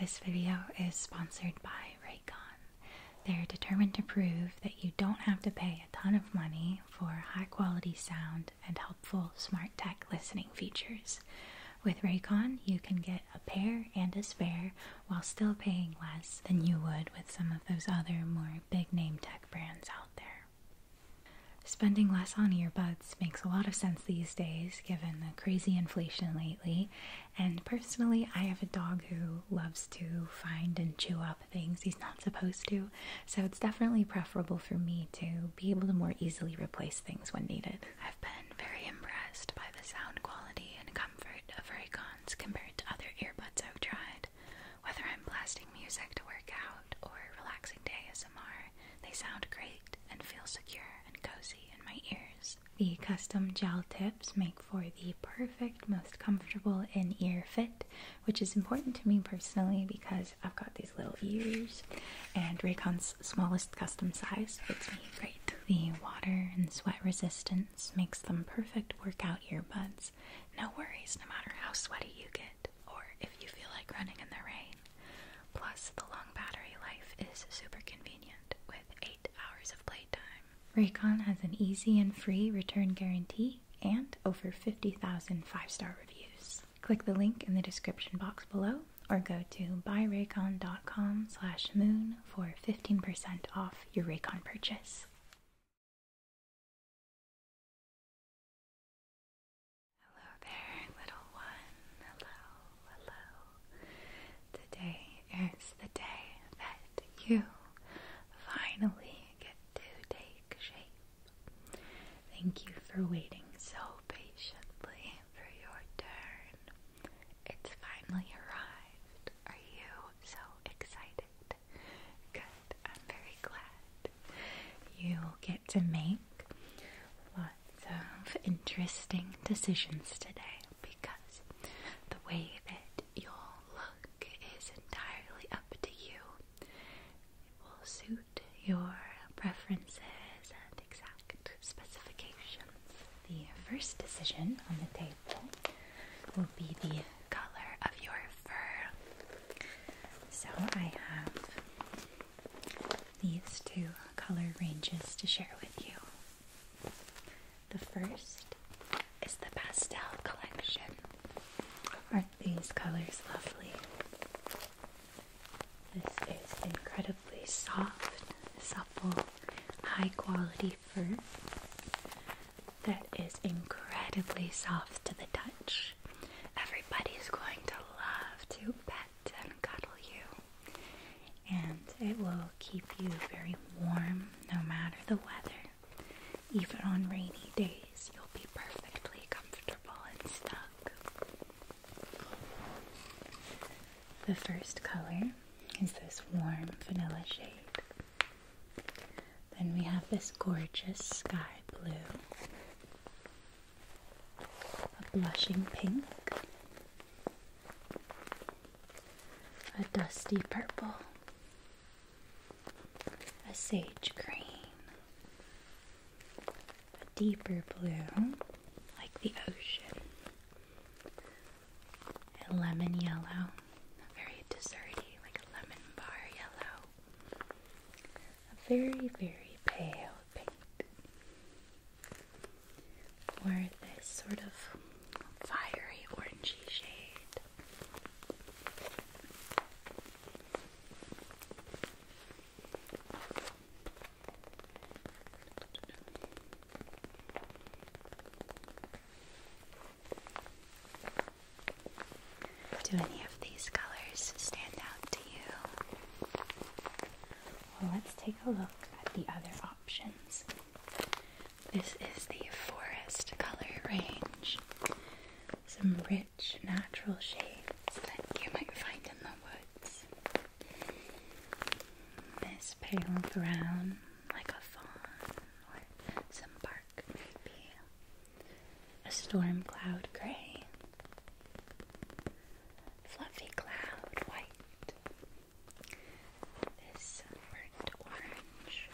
This video is sponsored by Raycon. They're determined to prove that you don't have to pay a ton of money for high quality sound and helpful smart tech listening features. With Raycon, you can get a pair and a spare while still paying less than you would with some of those other more big name tech brands out there. Spending less on earbuds makes a lot of sense these days given the crazy inflation lately, and personally, I have a dog who loves to find and chew up things he's not supposed to, so it's definitely preferable for me to be able to more easily replace things when needed. I've been very impressed by the sound quality and comfort of Raycons compared to other earbuds I've tried. Whether I'm blasting music to work out or relaxing to ASMR, they sound great and feel secure and cozy in my ears. The custom gel tips make for the perfect, most comfortable in ear fit, which is important to me personally because I've got these little ears, and Raycon's smallest custom size fits me great. The water and sweat resistance makes them perfect workout earbuds. No worries, no matter how sweaty you get, or if you feel like running in the rain. Plus, the long battery life is super convenient with 8 hours of playtime. Raycon has an easy and free return guarantee and over 50,000 five star reviews. Click the link in the description box below or go to buyraycon.com slash moon for 15% off your Raycon purchase. Hello there, little one. Hello, hello, Today is the day that you finally get to take shape. Thank you for waiting so patiently for your turn. It's finally arrived. Are you so excited? Good. I'm very glad. You get to make what some interesting decisions today because the way that you'll look is entirely up to you. It will suit your preferences and exact specifications. The first decision on the table will be the color of your fur. So I have these two color ranges to share with you. The first is the pastel collection. Aren't these colors lovely? This is incredibly soft, supple, high quality fur that is incredibly soft to the touch. Everybody's going to love to pet and cuddle you. And it will keep you very warm no matter the weather. Even on rainy days, you'll be perfectly comfortable and stuck. The first color is this warm vanilla shade. Then we have this gorgeous sky blue a blushing pink, a dusty purple, a sage green, a deeper blue like the ocean, a lemon yellow, a very desserty, like a lemon bar yellow, a very, very pale pink. Or this sort of fiery orangey shade. Do any of these colors stand out to you? Well, let's take a look at the other options. This is the forest color range. Some rich natural shades that you might find in the woods. This pale brown, like a fawn, or some bark maybe. A storm cloud gray, fluffy cloud white, this burnt orange,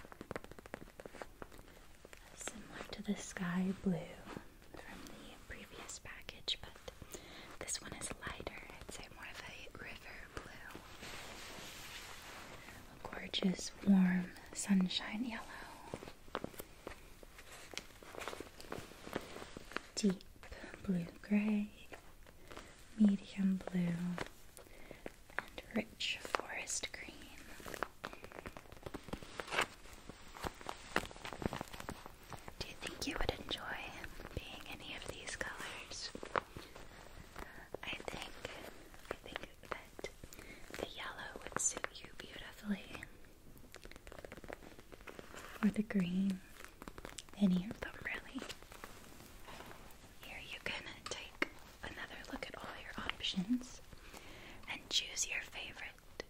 similar to the sky blue from the previous package, but this one is lighter. I'd say more of a river blue. A gorgeous, warm, sunshine yellow deep blue grey, medium blue, and rich forest green. Do you think you would enjoy being any of these colors? I think I think that the yellow would suit you beautifully or the green. Any of them, really. Here you can take another look at all your options and choose your favorite.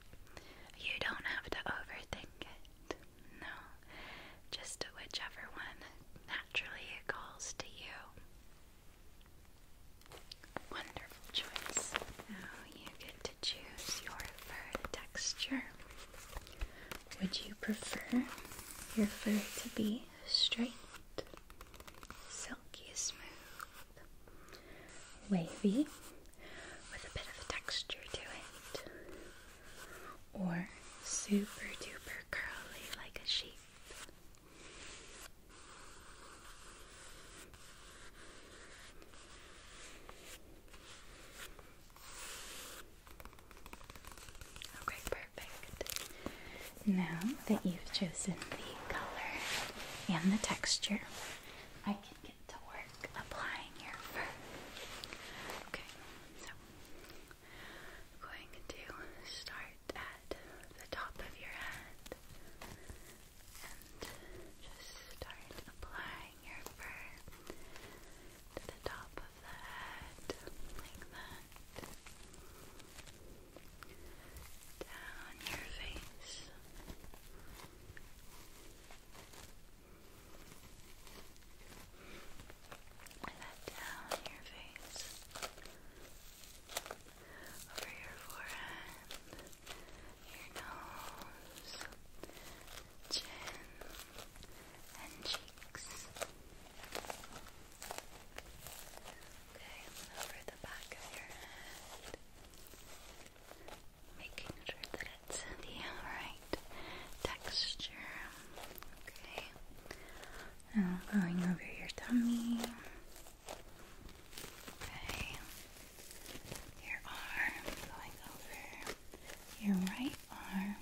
You don't have to overthink it. No, just whichever one naturally calls to you. Wonderful choice you get to choose your fur texture. Would you prefer your fur to be straight, silky smooth, wavy, with a bit of texture to it, or super duper curly like a sheep? Okay, perfect. Now that you've chosen the color and the texture, I can get to work applying your fur. Okay, so I'm going to start at the top of your head and just start applying bring your fur to the top of the head, like that. Down your face. That down your face. Over your forehead, your nose, chin and cheeks. Okay, over the back of your head, making sure that it's the right texture. Okay, now going over your tummy. Okay, your arm, going over your right arm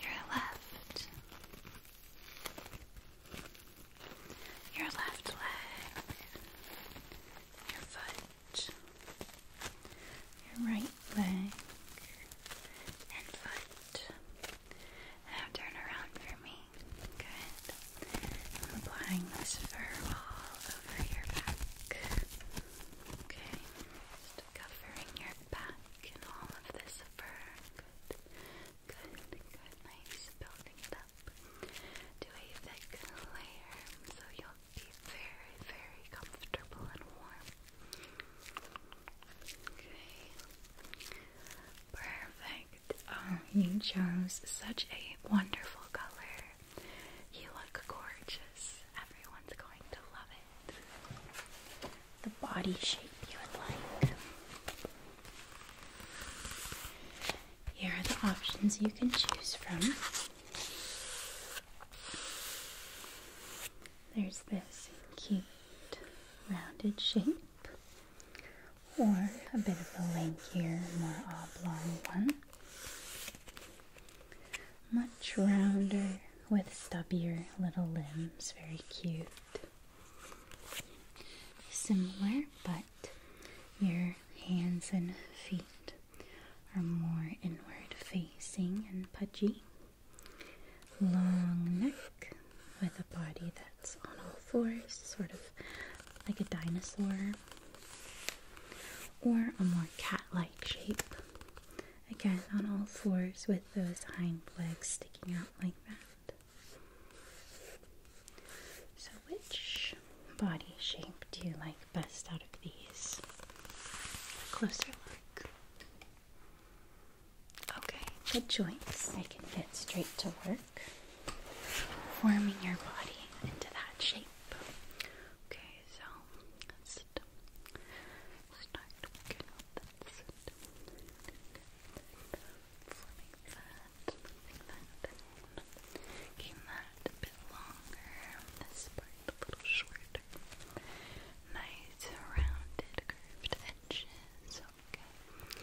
your left, your left leg, your foot, your right leg and foot. Now turn around for me. Good. I'm applying this fur all over your back. Okay, just covering your back and all of this fur. Good, good, good. Nice, building it up to a thick layer so you'll be very, very comfortable and warm. Okay. Perfect. Oh, you chose such a wonderful color. You look gorgeous. Everyone's going to love it. The body shape you would like. Here are the options you can choose from. There's this cute rounded shape, or a bit of a lankier, more oblong one. Much rounder with stubbier little limbs, very cute. Similar, but your hands and feet are more inward facing and pudgy. Long neck with a body that's on all fours, sort of like a dinosaur, or a more cat like shape. Again, on all fours with those hind legs sticking out like that. So, which body shape do you like best out of these? closer look. Okay, good joints. I can get straight to work forming your body into that shape. Okay, so let's start working with that. Forming that, forming that, making that a bit longer, this part a little shorter. Nice rounded curved edges, okay.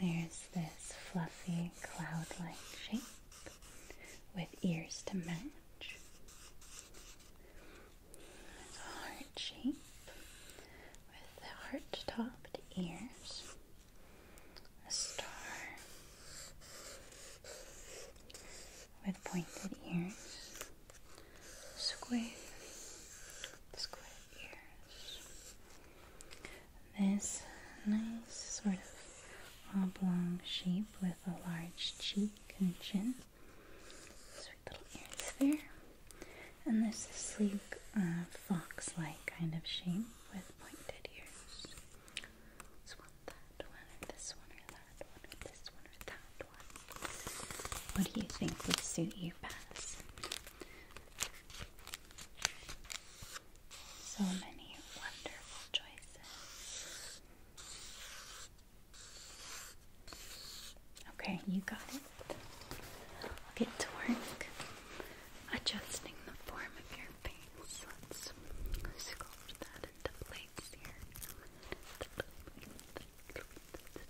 There's this fluffy cloud like shape with ears to match. It's a heart shape with heart topped ears. A star with pointed ears. Square. Square ears. This nice sort of oblong shape with a large cheek and chin. Sweet little ears there. And this sleek uh, fox like kind of shape with pointed ears. What do you think would suit you best? So many wonderful choices. Okay, you got it. I'll get to work adjusting the form of your face. Let's sculpt that into place here.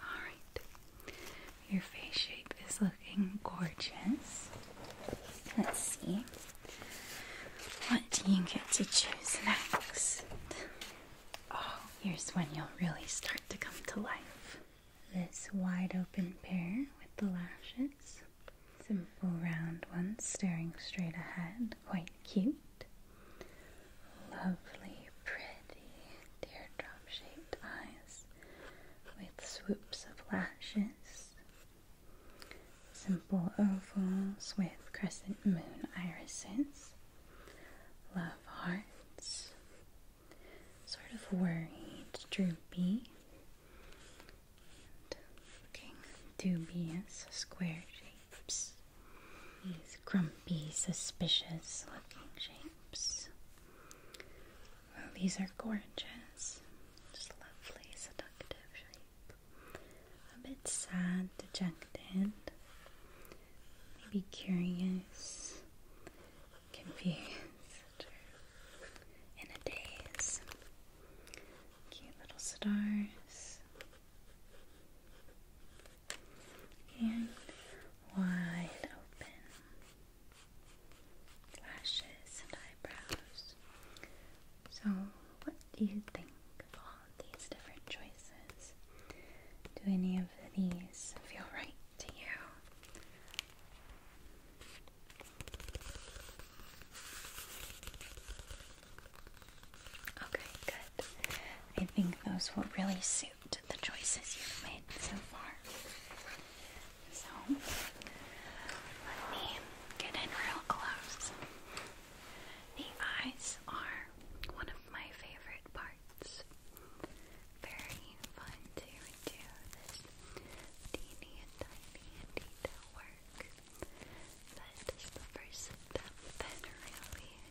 Alright, your face shape is looking gorgeous. Let's see. What do you get to choose next? Oh, here's when you'll really start to come to life. This wide open pair with the lashes. Simple round ones staring straight ahead, quite cute. Lovely, pretty teardrop shaped eyes with swoops of lashes. Simple ovals with crescent moon irises. Love hearts. Sort of worried, droopy. looking dubious square shapes. These grumpy, suspicious looking shapes. these are gorgeous. Just lovely, seductive shape. A bit sad, dejected, maybe curious, confused, in a daze. Cute little stars and wide open lashes and eyebrows. So, what do you think of all these different choices? Do any of these feel right to you? Okay, good. I think those will really suit the choices you've made so far. So, let me get in real close. The eyes are one of my favorite parts. Very fun to do this teeny and tiny work. That is the first step that really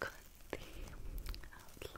Cut the outline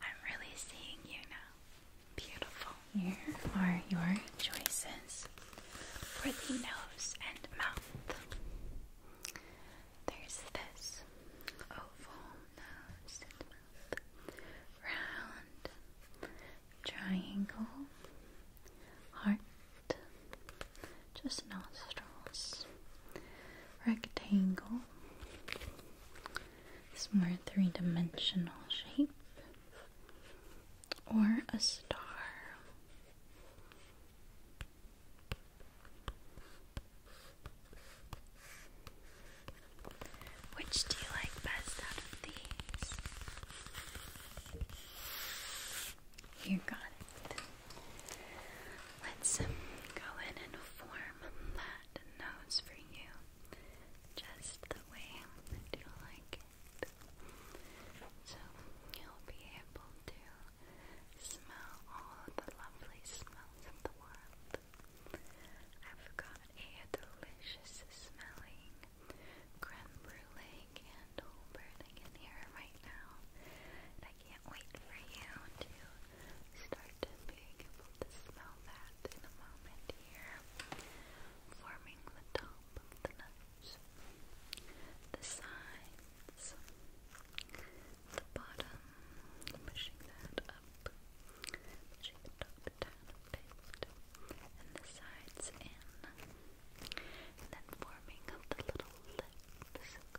I'm really seeing you now. Beautiful. Here are your choices for the nose and mouth. There's this oval nose round, triangle, heart, just nostrils, rectangle. It's more three dimensional shape. Or a star. Which do you like best out of these? You got it. Let's um, go in and form that nose for you just the way that do like it. So you'll be able to smell all the lovely smells of the world. I've got a delicious smelling creme candle burning in here right now. I can't wait for you to start being able to smell that in a moment here. Forming the top of the nose, the sides, the bottom, pushing that up, pushing the top down a bit, and the sides in, then forming up the little lips.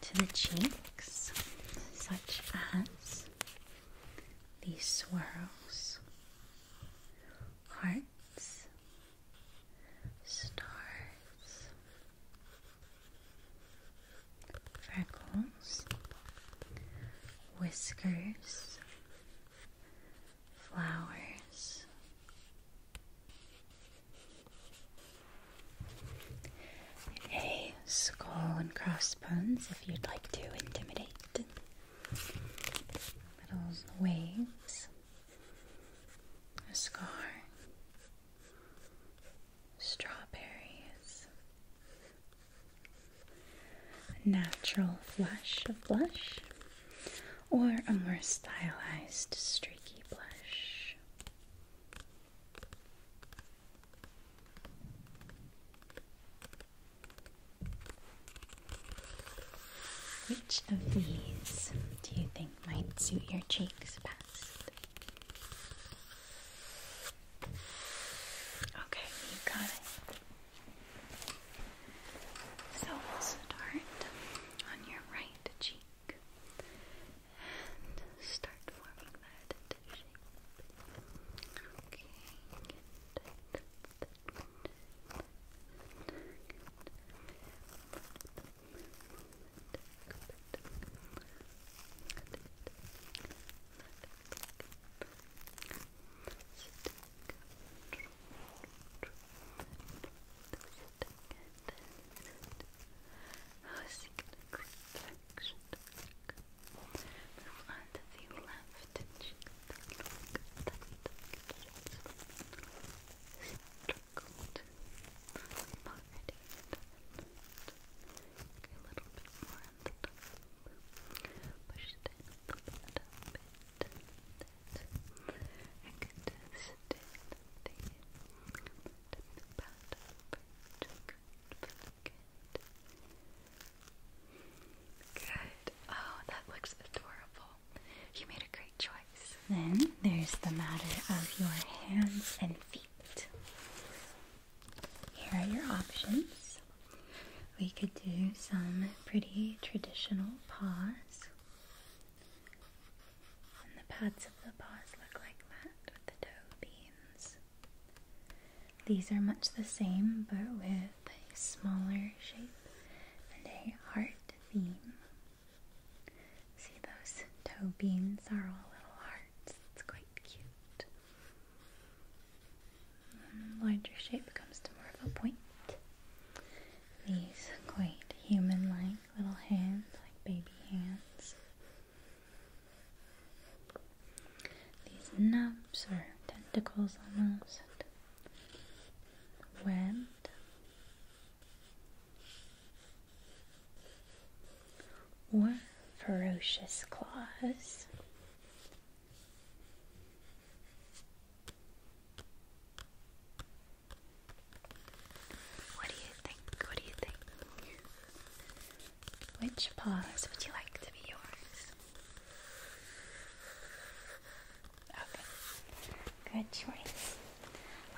to the cheeks, such as these swirls, hearts, stars, freckles, whiskers, flowers, a skull and crossbones if you'd like to intimidate. Petals waves. A scar. Strawberries. A natural flush of blush. Or a more stylized streaky blush. Which of these do you think might suit your cheeks best? Okay, you got it. So we'll start on your right cheek and start forming that shape. Okay, how is it going to direction to look? Move the left and the look a little bit more on the top. Push it in a bit, I could just do Good. Oh, that looks adorable. You made a great choice. Then there's the matter of your hands and feet. Here are your options. We could do some pretty traditional paws the pads of the paws look like that with the toe beans. These are much the same but with a smaller shape and a heart theme. See, those toe beans are all little hearts. It's quite cute. larger shape comes to more of a point. These quite human like little hands, like baby hands. These nubs or tentacles almost, webbed, or ferocious claws. What do you think? What do you think? Which paws would you like to be yours? Okay, good choice.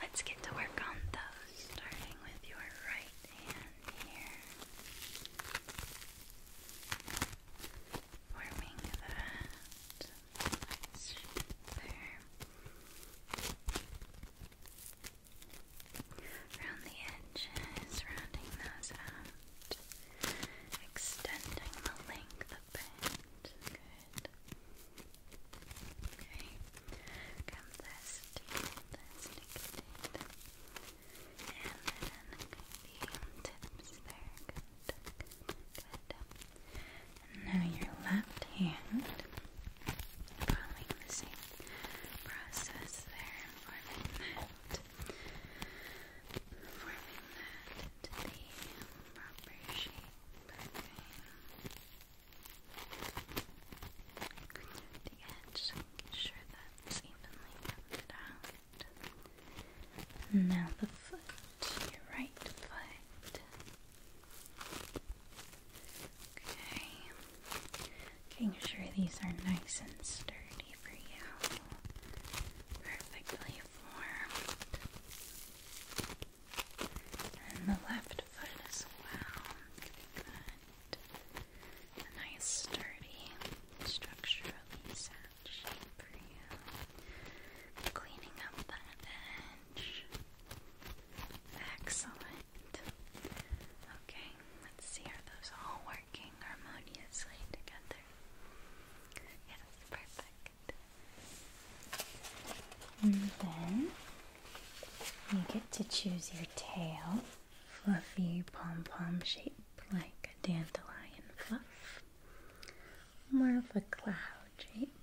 Let's get to work on those, starting with your right hand here. Forming that. There. Around the edges, rounding those out, extending the length Good. Okay. Come this, take this, take it, and then the tips there. Good. Good. Now your left hand, following the same process there, forming that, forming that the proper shape. Okay. The edge, making sure that's evenly covered out. now the foot, your right foot. Okay. Making sure these are nice and sturdy for you. Perfectly formed. And the left foot as well. Good. A nice sturdy structurally sound shape for you. Cleaning up that edge. Excellent. Okay, let's see, are those all working harmoniously together? Yes, perfect. And then you get to choose your tail, fluffy pom pom shape like a dandelion fluff, more of a cloud shape.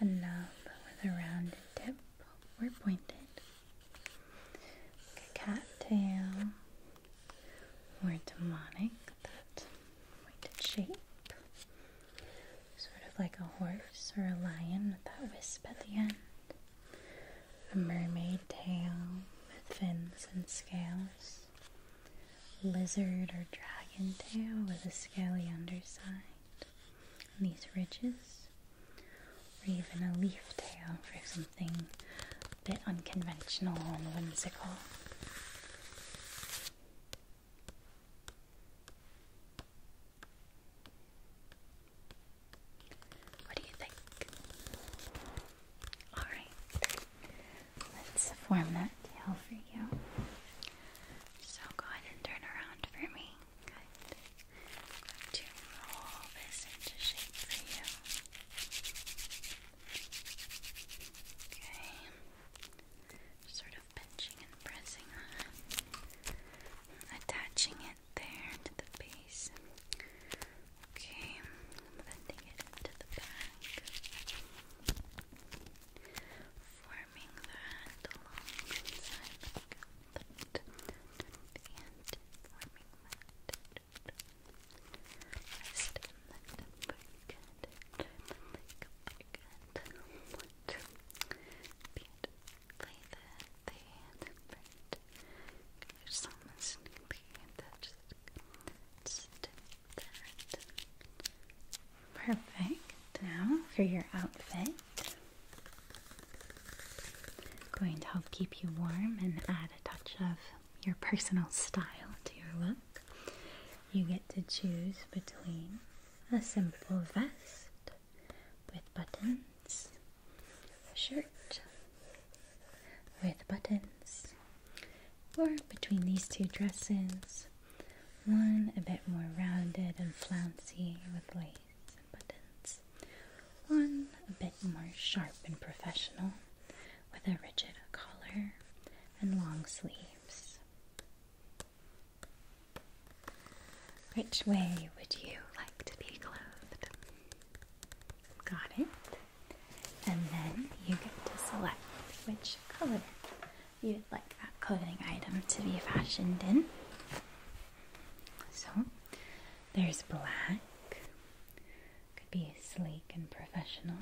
A knob with a rounded tip or pointed. A cat tail, or demonic, that pointed shape. Sort of like a horse or a lion with that wisp at the end. A mermaid tail with fins and scales. Lizard or dragon tail with a scaly underside. And these ridges, or even a leaf tail for something a bit unconventional and whimsical. What do you think? Alright, let's form that tail for you. So go ahead and turn around for me. to roll this into shape for you. Okay. Sort of pinching and pressing on. Attaching it there to the base. Okay. Blending it into the back forming the hand along inside like a foot and forming that rest in the upper cut like a cut beautifully the, the different there's someone sneaky and that just sticks there Perfect. Now for your outfit. Going to help keep you warm and add a touch of your personal style to your look. You get to choose between a simple vest with buttons, shirt with buttons, or between these two dresses one a bit more rounded and flouncy with lace and buttons. One a bit more sharp and professional with a rigid collar and long sleeves. Which way would you like to be clothed? Got it? And then you get to select which color you would like that clothing item to be fashioned in. So there's black, could be sleek and professional,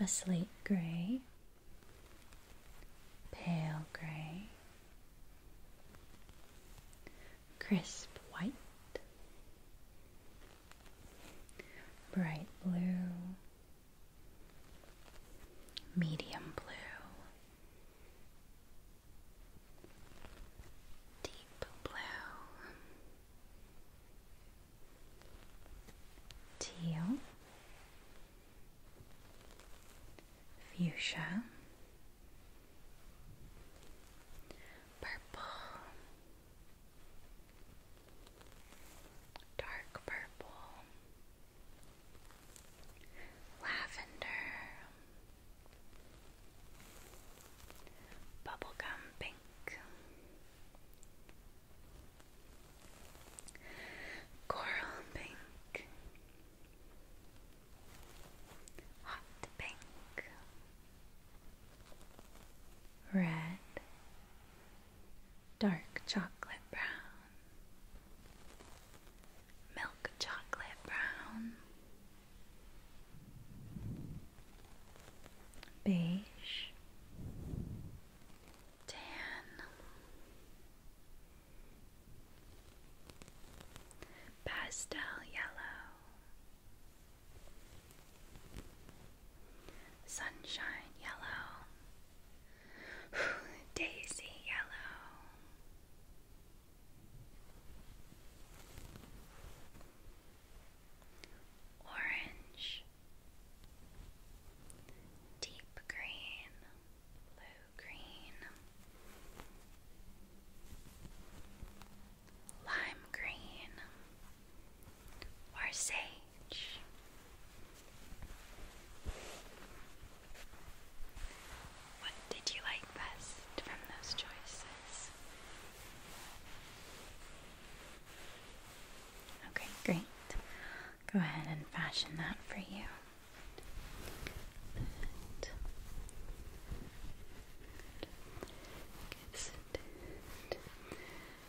a slate gray, pale gray, crisp white. Bright blue, medium blue, deep blue, teal, fuchsia, purple dark purple, lavender, bubblegum pink, coral pink, hot pink. Red, dark chocolate brown, milk chocolate brown, beige, tan, pastel yellow. Sunshine yellow, daisy yellow. Orange, deep green, blue green, lime green, or what did you like best from those choices? Okay, great. Go ahead and fashion that for you.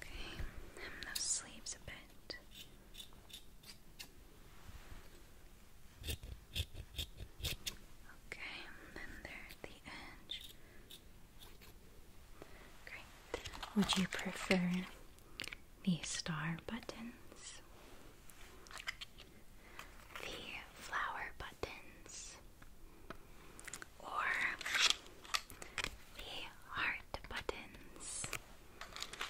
Okay, those sleeves a bit. Okay, and then there the edge. Great. Would you prefer the star buttons? The flower buttons? or the heart buttons.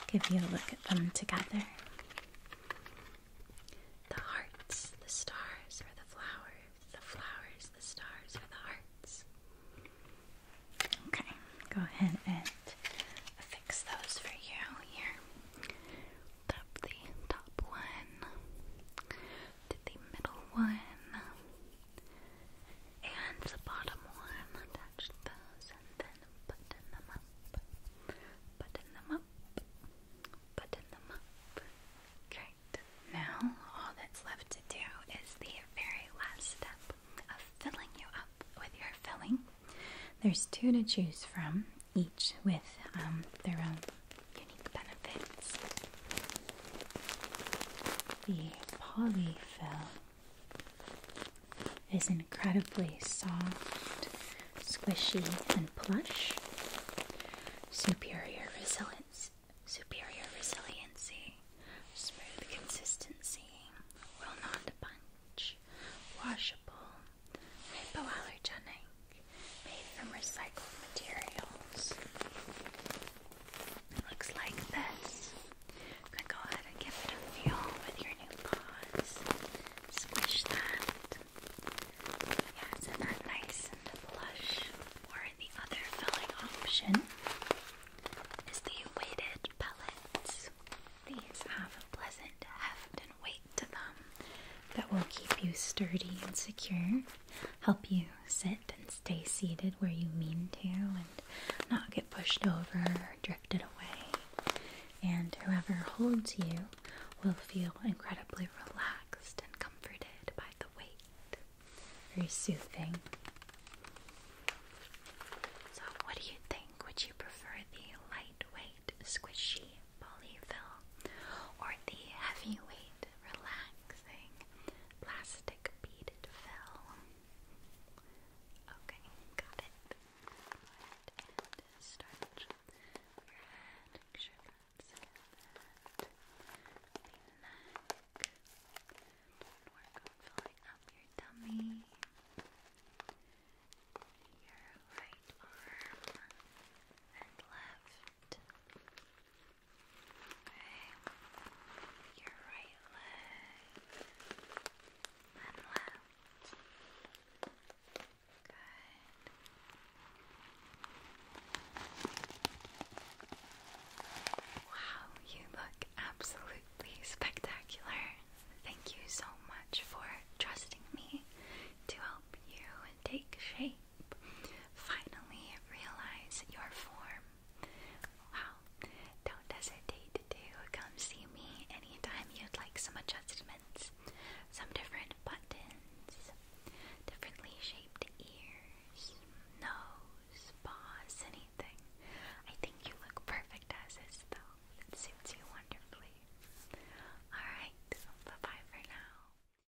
Give you a look at them together. The hearts, the stars, or the flowers. The flowers, the stars, or the hearts. Okay, go ahead and fix those for you here. Tap the top one to the middle one and the bottom one. Attach those and then button them up. Button them up. Button them up. Great. Now all that's left to do is the very last step of filling you up with your filling. There's two to choose from, each with um, their own unique benefits. The polyfill is incredibly soft, squishy, and plush. Superior resilience, superior resiliency, smooth consistency, will not punch, washable, hypoallergenic, made from recycled materials. It looks like this. gonna go ahead and give it a feel with your new paws. Squish that. Yeah, isn't that nice and plush? Or the other filling option is the weighted pellets. These have a pleasant heft and weight to them that will keep you sturdy and secure, help you sit and stay seated where you mean to and not get pushed over or drifted away. And whoever holds you will feel incredibly relaxed and comforted by the weight. Very soothing. So, what do you think? Would you prefer the lightweight, squishy polyfill or the heavyweight, relaxed? thing. Plastic beaded fill. Okay, got it. Go your head. Make sure that's good. The neck. work on filling up your tummy. Your right arm and left. Your right leg and left. Good. Wow, you look absolutely spectacular. Thank you so much for trusting me to help you take shape shape. Finally, realize your form. Wow, don't hesitate to come see me anytime you'd like some adjustments, some different buttons, differently shaped ears, nose, paws, anything. I think you look perfect as is, though. It suits you wonderfully. Alright, bye bye for now.